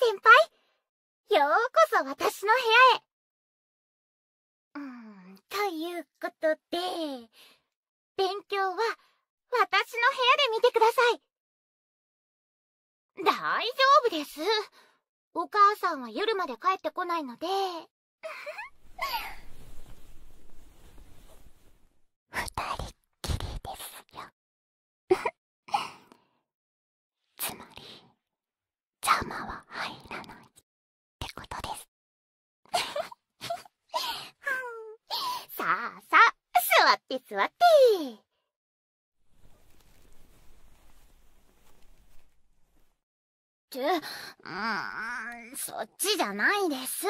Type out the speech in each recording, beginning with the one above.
先輩ようこそ私の部屋へ。うーん、ということで、勉強は私の部屋で見てください。大丈夫です。お母さんは夜まで帰ってこないので、二人っきりですよつまり邪魔は入らないってことですふふさあさあ座って座ってってうんそっちじゃないです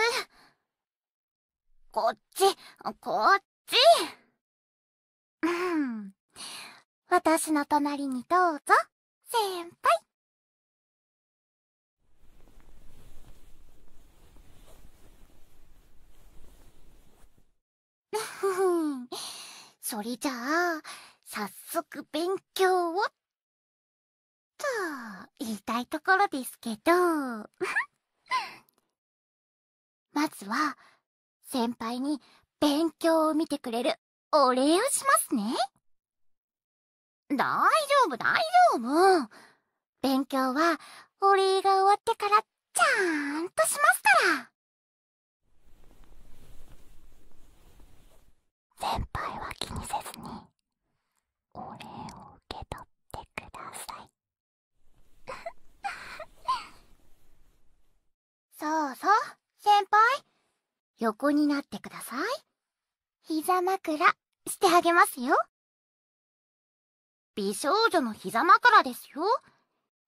こっち、こっち。うん。私の隣にどうぞ、先輩。それじゃあ、さっ早速勉強をと言いたいところですけど まずは先輩に勉強を見てくれるお礼をしますね大丈夫大丈夫勉強はお礼が終わってからちゃんとしますから先輩は気にせずにお礼を受け取ってください そうそう先輩横になってください膝枕してあげますよ美少女の膝枕ですよ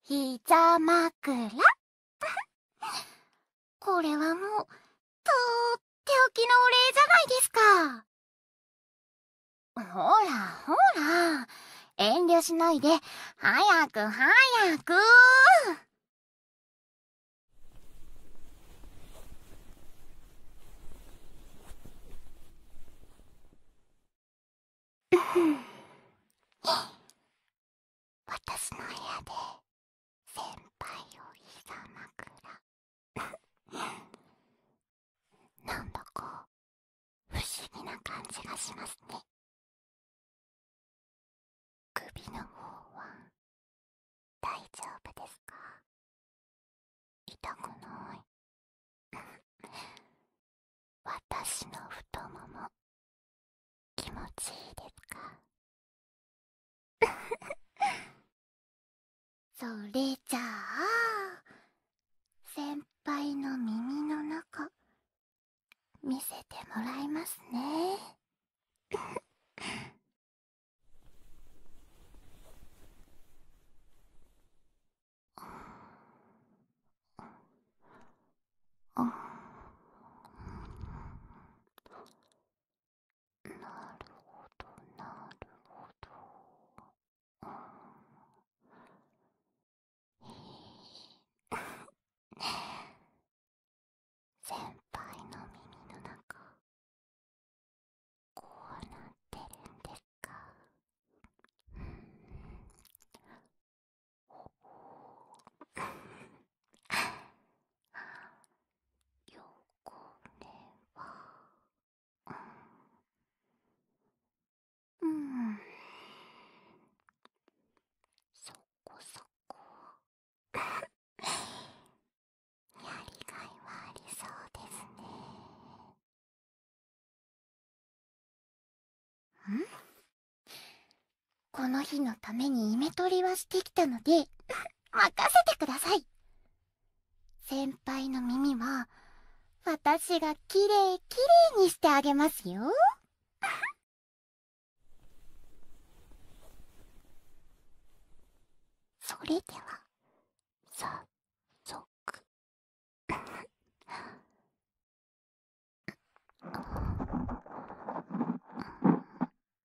膝枕 これはもうとっておきのお礼じゃないですか。ほらほら、遠慮しないで、早く早く 私の部屋で先輩をひざ枕 なんだか不思議な感じがしますね首の方は大丈夫ですか痛くない 私の太もも気持ちいいですか それじゃあ先輩の耳の中見せてもらいますねあ なるほどなるほどねえ、先輩の耳の中こうなってるんですかうんほほよこれはうんそこそこ やりがいはありそうですねんこの日のためにイメ取りはしてきたので任せてください先輩の耳は私がきれいきれいにしてあげますよそれでは早速うん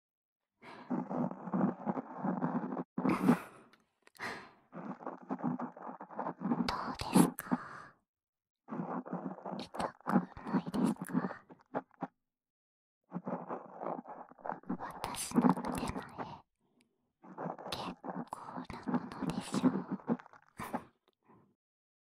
どうですか痛くないですか私の手前結構なものでしょう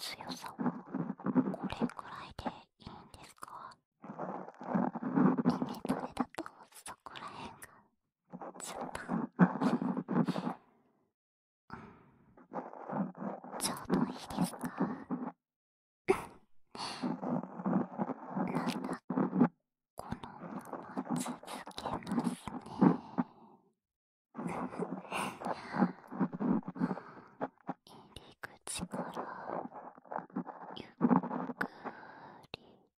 強さはこれくらいでいいんですかえトレだとそこらへんがずっとちょうどいいですかなんだこのまま続けますね入り口からゆっくり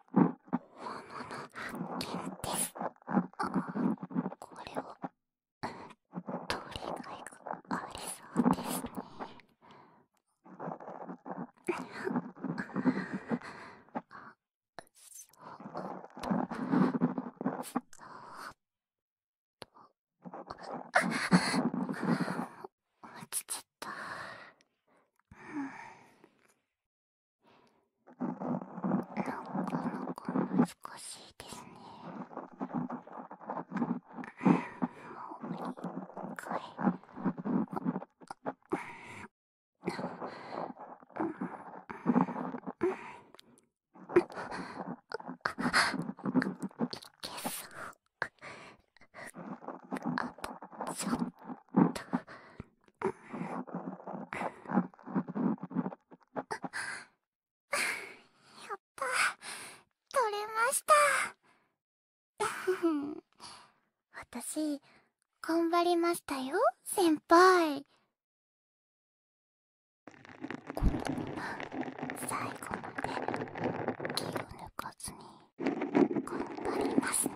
もの物発見ですあこれを通り替えがありそうですねあっ、そうか、と…そう落ちちゃった。なかなか難しいですね。もう一回。いけそう。あとちょっと。あ、った取れました 私頑張りましたよ先輩このまま最後まで気を抜かずに頑張りますね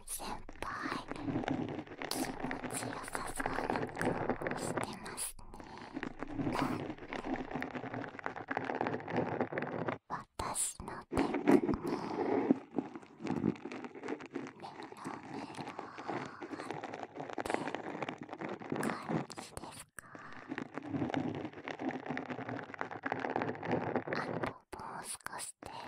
先輩気持ちよさそうな顔してますね私のテクニメロメロって感じですかあともう少しで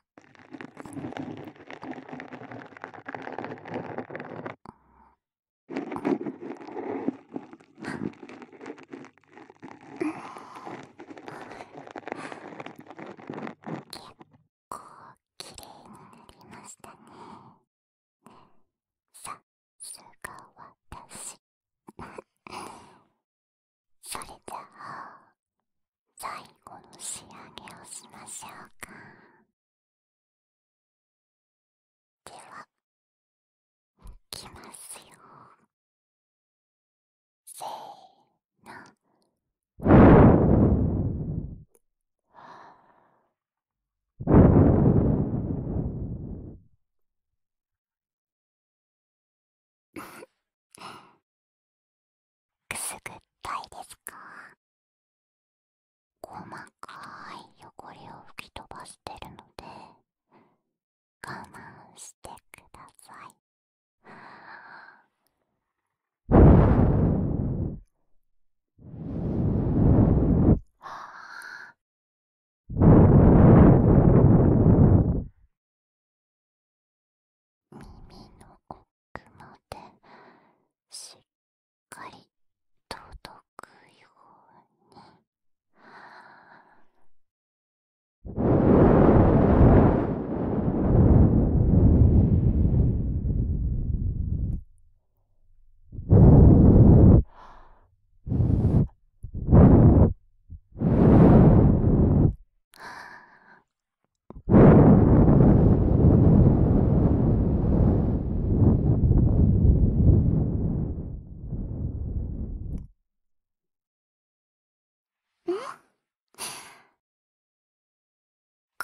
きれいになりましたねさすが私 それじゃあ最後の仕上げをしましょうかではいきますよせーのくすぐったいですか細かい汚れを吹き飛ばしてるので我慢してください。は耳の奥までしっかり届くように。は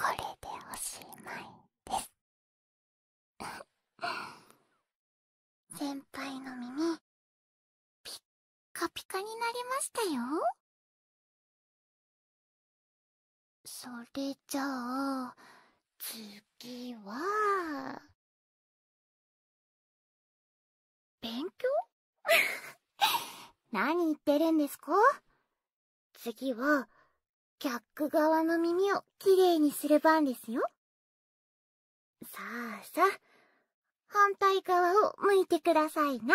これでおしまいです 先輩の耳ピッカピカになりましたよそれじゃあ次は勉強 何言ってるんですか次はキャック側の耳をきれいにする番ですよさあさあ反対側を向いてくださいな。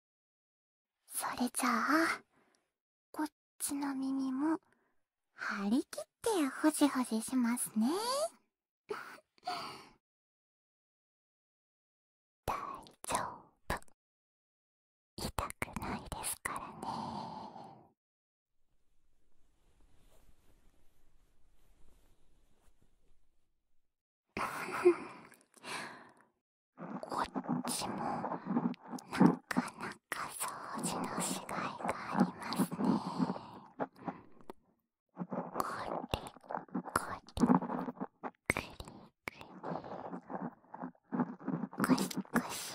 それじゃあこっちの耳も張り切ってほじほじしますね 大丈夫痛くないですからね こっちもなかなか掃除のしがいがありますねこりこり、くりくりこしこし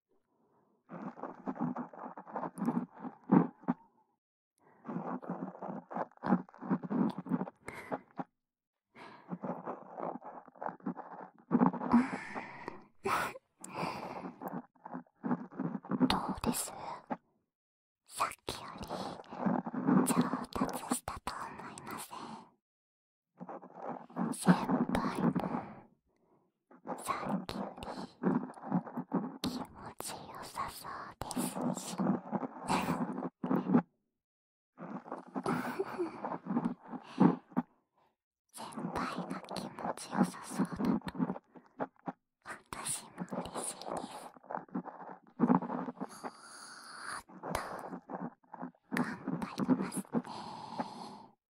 どうですさっきより上達したと思いません先輩も、さっきより気持ちよさそうですし先輩が気持ちよさそうだと私も嬉しいですもっと頑張りますね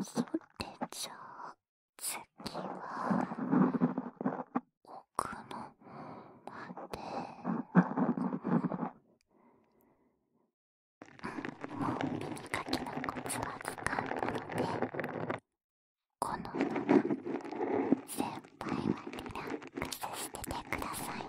それじゃん。次は奥の方までもう耳かきのコツはつかんだのでこのまま先輩はリラックスしててくださいね。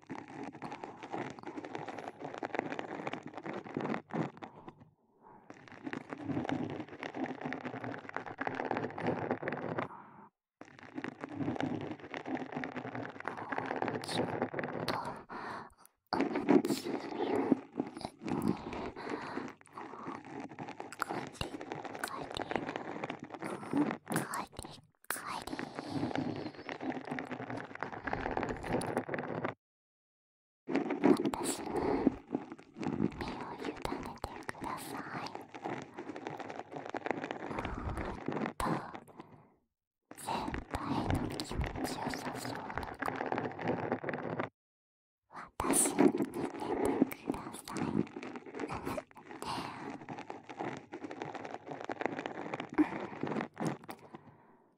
ちょっと熱いカリカリカリカリ。私に身を委ねてくださいもっと先輩の気持ちよさそうな子私に似ててくださいうん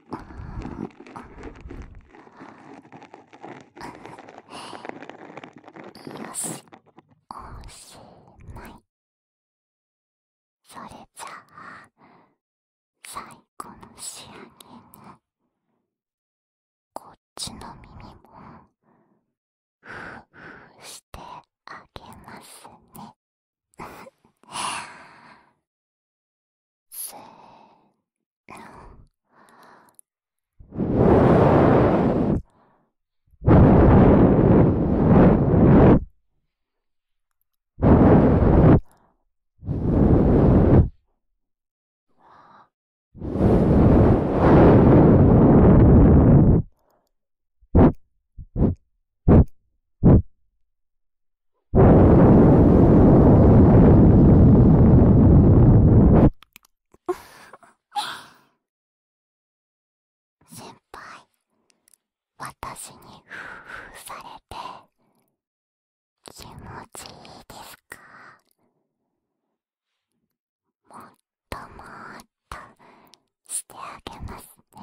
ん…よしおしまいそれじゃあ最後の仕上げにこっちの耳もふうふうしてあげますねせーの。先輩私にフーふーされて気持ちいいですかもっともっとしてあげますね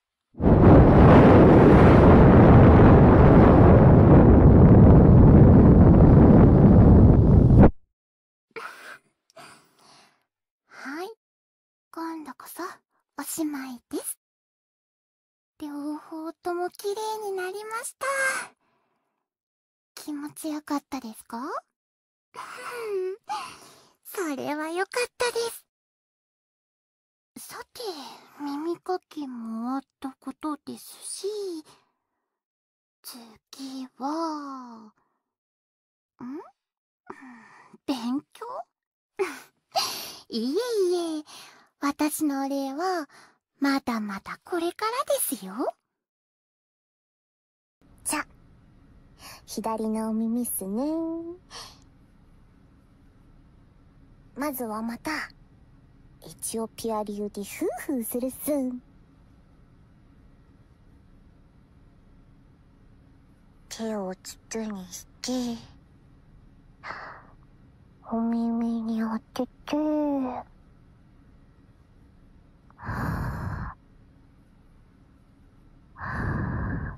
はい今度こそおしまいです両方とも綺麗になりました気持ちよかったですかそれはよかったですさて耳かきもあったことですし次はん 勉強 いえいえ私のお礼はまだまだこれからですよじゃ左のお耳っすねまずはまたエチオピア流でフーフーするっす手を筒にしてお耳に当ててはあはあ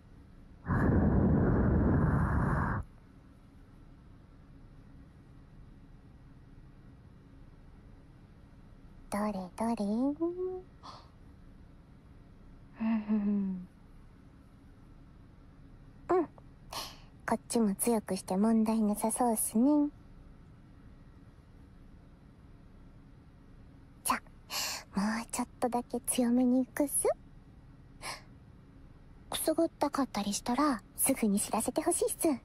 どれどれうんうんこっちも強くして問題なさそうっすねじゃもうちょっとだけ強めにいくっすくすぐったかったりしたらすぐに知らせてほしいっすうん。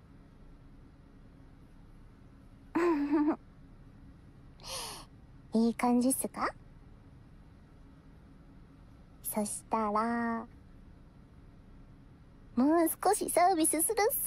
いい感じっすかそしたら、もう少しサービスするっす。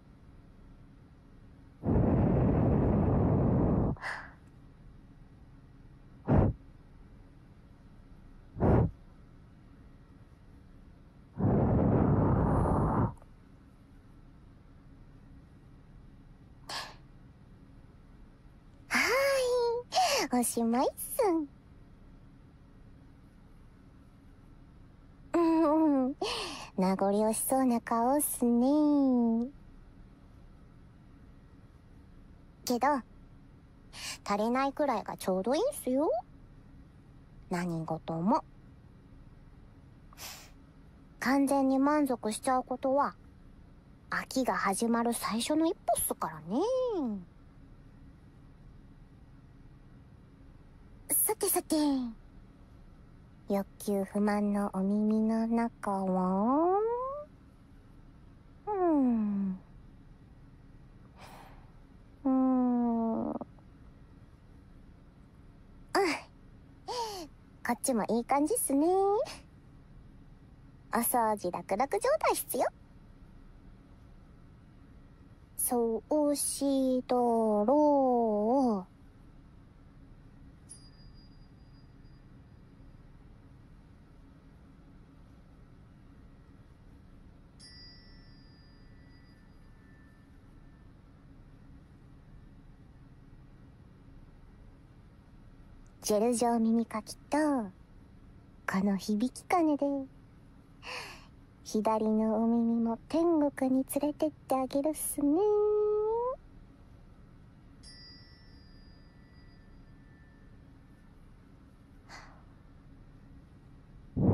はい、おしまいっすうんうん 名残惜しそうな顔っすねけど足りないくらいがちょうどいいっすよ何事も完全に満足しちゃうことは秋が始まる最初の一歩っすからねさてさて欲求不満のお耳の中はうんうんあこっちもいい感じっすねお掃除楽々状態っすよそうしとろう。ジェル状耳かきと、この響きかねで 左のお耳も天国に連れてってあげるっすね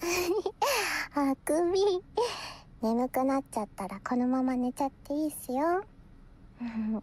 あくび眠くなっちゃったらこのまま寝ちゃっていいっすよ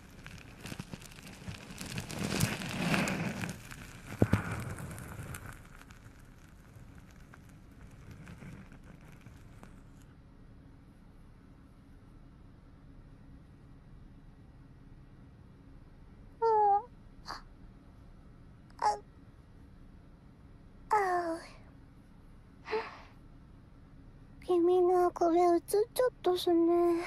君がこれ映っちゃったすね。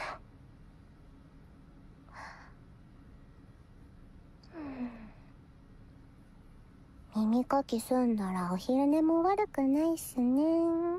耳かき済んだらお昼寝も悪くないっすねうん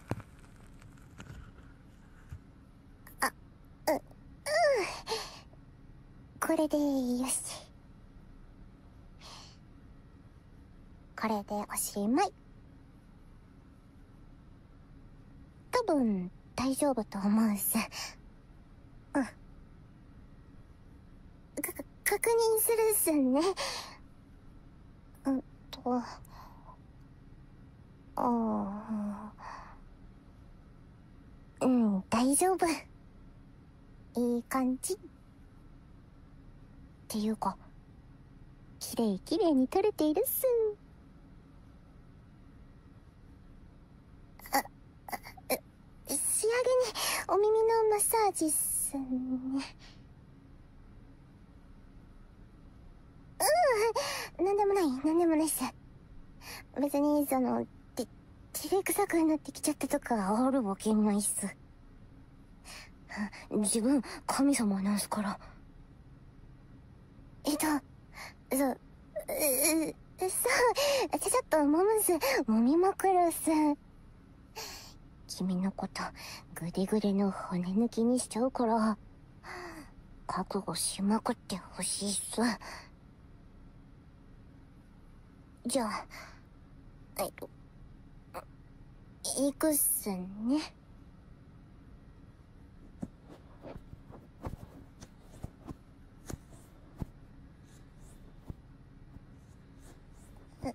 あ、う、うん。これでよし。これでおしまい。多分、大丈夫と思うし。うん。か、確認するっすね。うんとああうん大丈夫いい感じっていうかきれいきれいに撮れているっすあ仕上げにお耳のマッサージっすねうう、ん何でもない何でもないっす別にそのて照れくさくなってきちゃったとかあるわけないっす自分神様なんすからえっとそそうちょちょっともむっすもみまくるっす君のことグデグデの骨抜きにしちゃうから覚悟しまくってほしいっすじゃあえっと行くっすねえっ。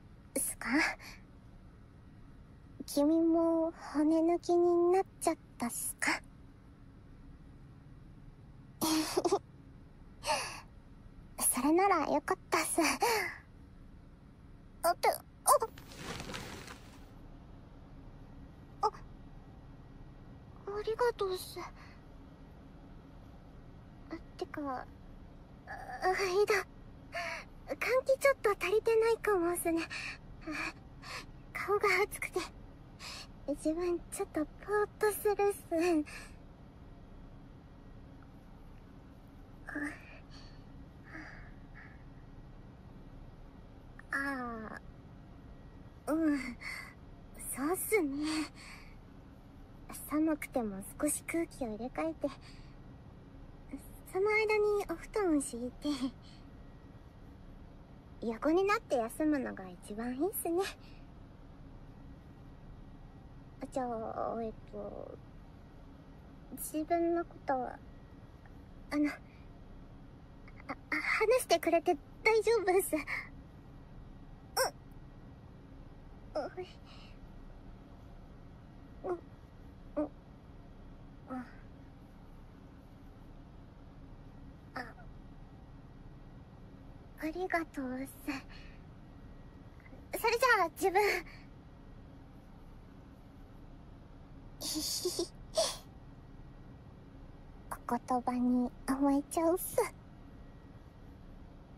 すか君も骨抜きになっちゃったっすか それならよかったっす。あって、ああ、ありがとうっす。ってか、いだ換気ちょっと足りてないかもすね顔が熱くて自分ちょっとぽーっとするっすああうんそうっすね寒くても少し空気を入れ替えてその間にお布団を敷いて 横になって休むのが一番いいっすねじゃあえっと自分のことはあのあ話してくれて大丈夫っすうっおいん。うん。あありがとうせそれじゃあ自分ひひひお言葉に甘えちゃうっす